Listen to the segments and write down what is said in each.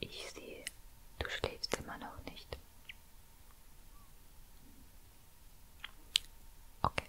Ich sehe, du schläfst immer noch nicht. Okay,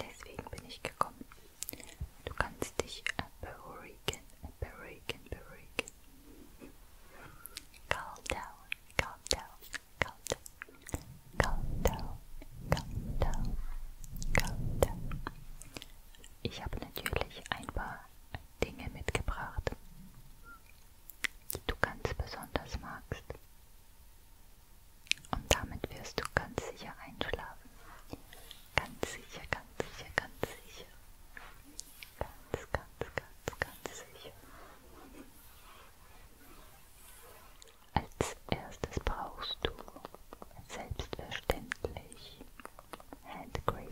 deswegen bin ich gekommen. Du kannst dich beruhigen, beruhigen, beruhigen. Calm down, calm down, calm down, calm down, calm down, calm down. Ich habe natürlich ein paar Dinge mitgebracht, die du ganz besonders magst. Und damit wirst du ganz sicher einschlafen. Ganz sicher, ganz sicher, ganz sicher. Ganz, ganz, ganz, ganz sicher. Als erstes brauchst du selbstverständlich Handcreme.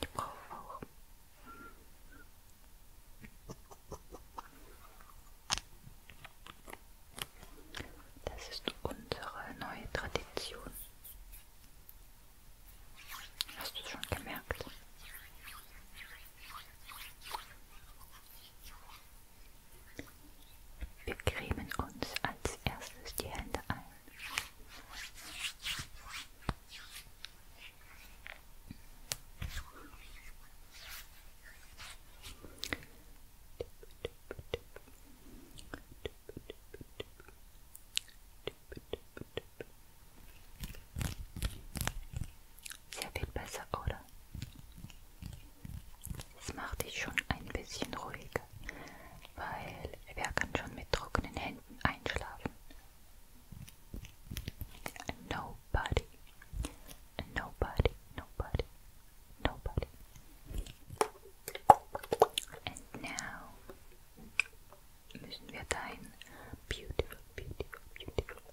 Ich brauche auch. Das ist unsere neue Tradition. Hast du es schon gemerkt? Wir cremen uns als erstes die Hände ein. Sehr viel besser, oder? Es macht dich schon ein bisschen ruhiger, weil wer kann schon mit trockenen Händen einschlafen? Nobody. Nobody, nobody, nobody. And now müssen wir dein beautiful, beautiful, beautiful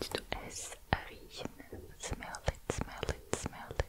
Let's do s r i Smell it, smell it, smell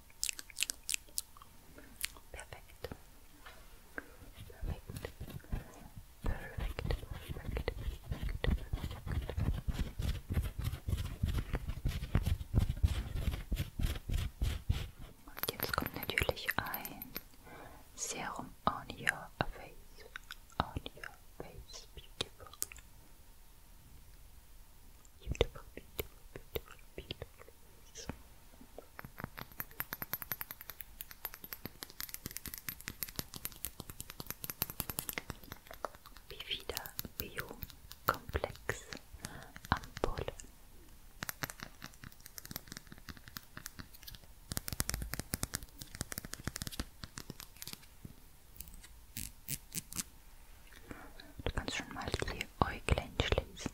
Perfekt. Perfekt. Perfekt. Perfekt. Und jetzt kommt natürlich ein Serum on your face. On your face. Beautiful beautiful, beautiful, beautiful, beautiful face. Wie wieder Biokomplex Ampulle. Du kannst schon mal die Äuglein schließen.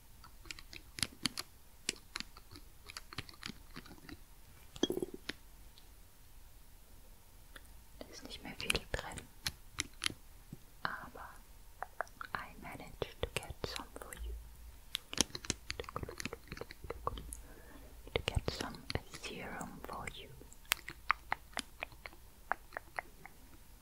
Da ist nicht mehr viel drin, I managed to get some for you. To get some serum for you.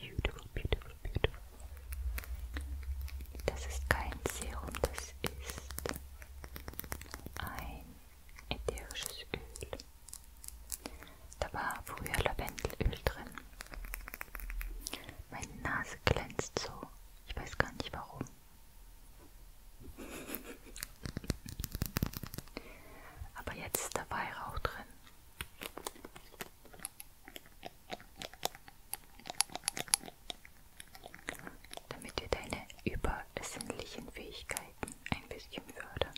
Beautiful, beautiful, beautiful. Das ist kein Serum, das ist ein ätherisches Öl. Da war früher Lavendelöl drin. Meine Nase glänzt so. Ich weiß gar nicht warum. Aber jetzt ist da Weihrauch drin damit wir deine übersinnlichen Fähigkeiten ein bisschen fördern.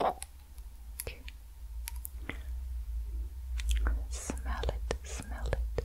Okay. Smell it, smell it.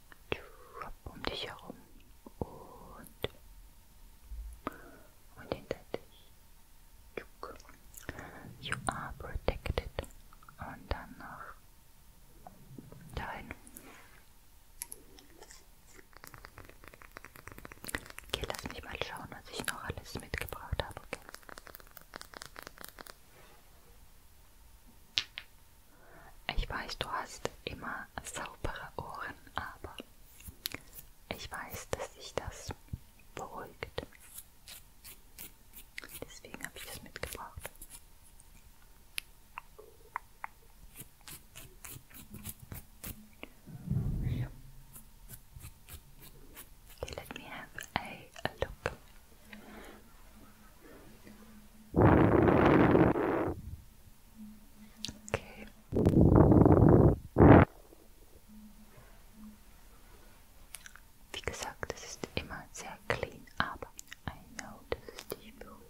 um dich herum und, und hinter dich. You are protected. Und dann noch dahin. Okay, lass mich mal schauen, was ich noch alles mitgebracht habe. Okay. Ich weiß, du hast immer saubere Ohren, aber ich weiß, dass sich das beruhigt. Deswegen habe ich das mitgebracht. Okay, let me have a, a look Okay. Wie gesagt, es ist immer sehr clean, aber I know, dass es dich beruhigt.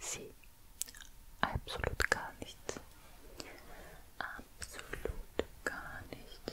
Sie absolut gar nichts. Absolut gar nichts.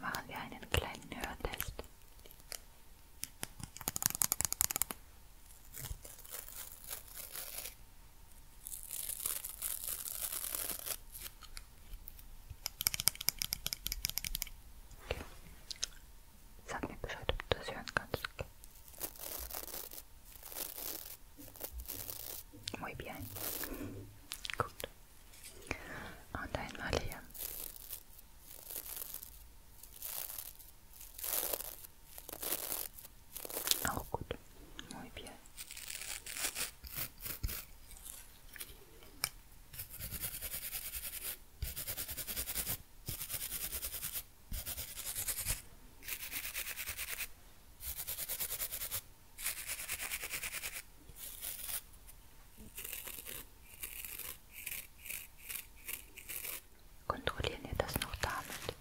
Machen wir einen kleinen Hörtest. Sag mir Bescheid, ob du das hören kannst. Okay. Muy bien. Gut. Und einmal hier. Auch gut. Muy bien. Kontrollieren wir das noch damit.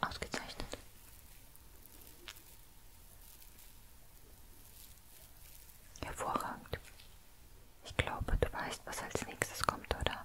Ausgezeichnet. Hervorragend. Ich glaube, du weißt, was als nächstes kommt, oder?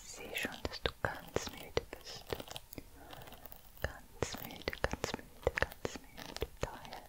Ich sehe schon, dass du ganz müde bist. Ganz müde, ganz müde, ganz müde. Tired.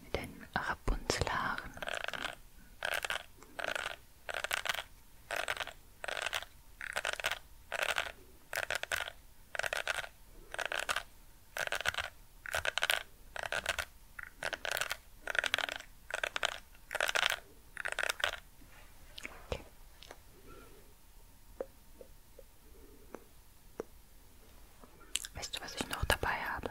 Mit den Rapunzelhaaren. Okay. Weißt du, was ich noch dabei habe?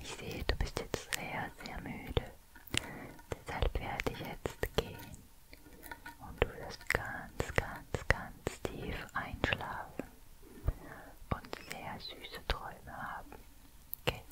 Ich sehe, du bist jetzt sehr, sehr müde. Deshalb werde ich jetzt gehen. Und du wirst ganz, ganz, ganz tief einschlafen und sehr süße Träume haben. Okay.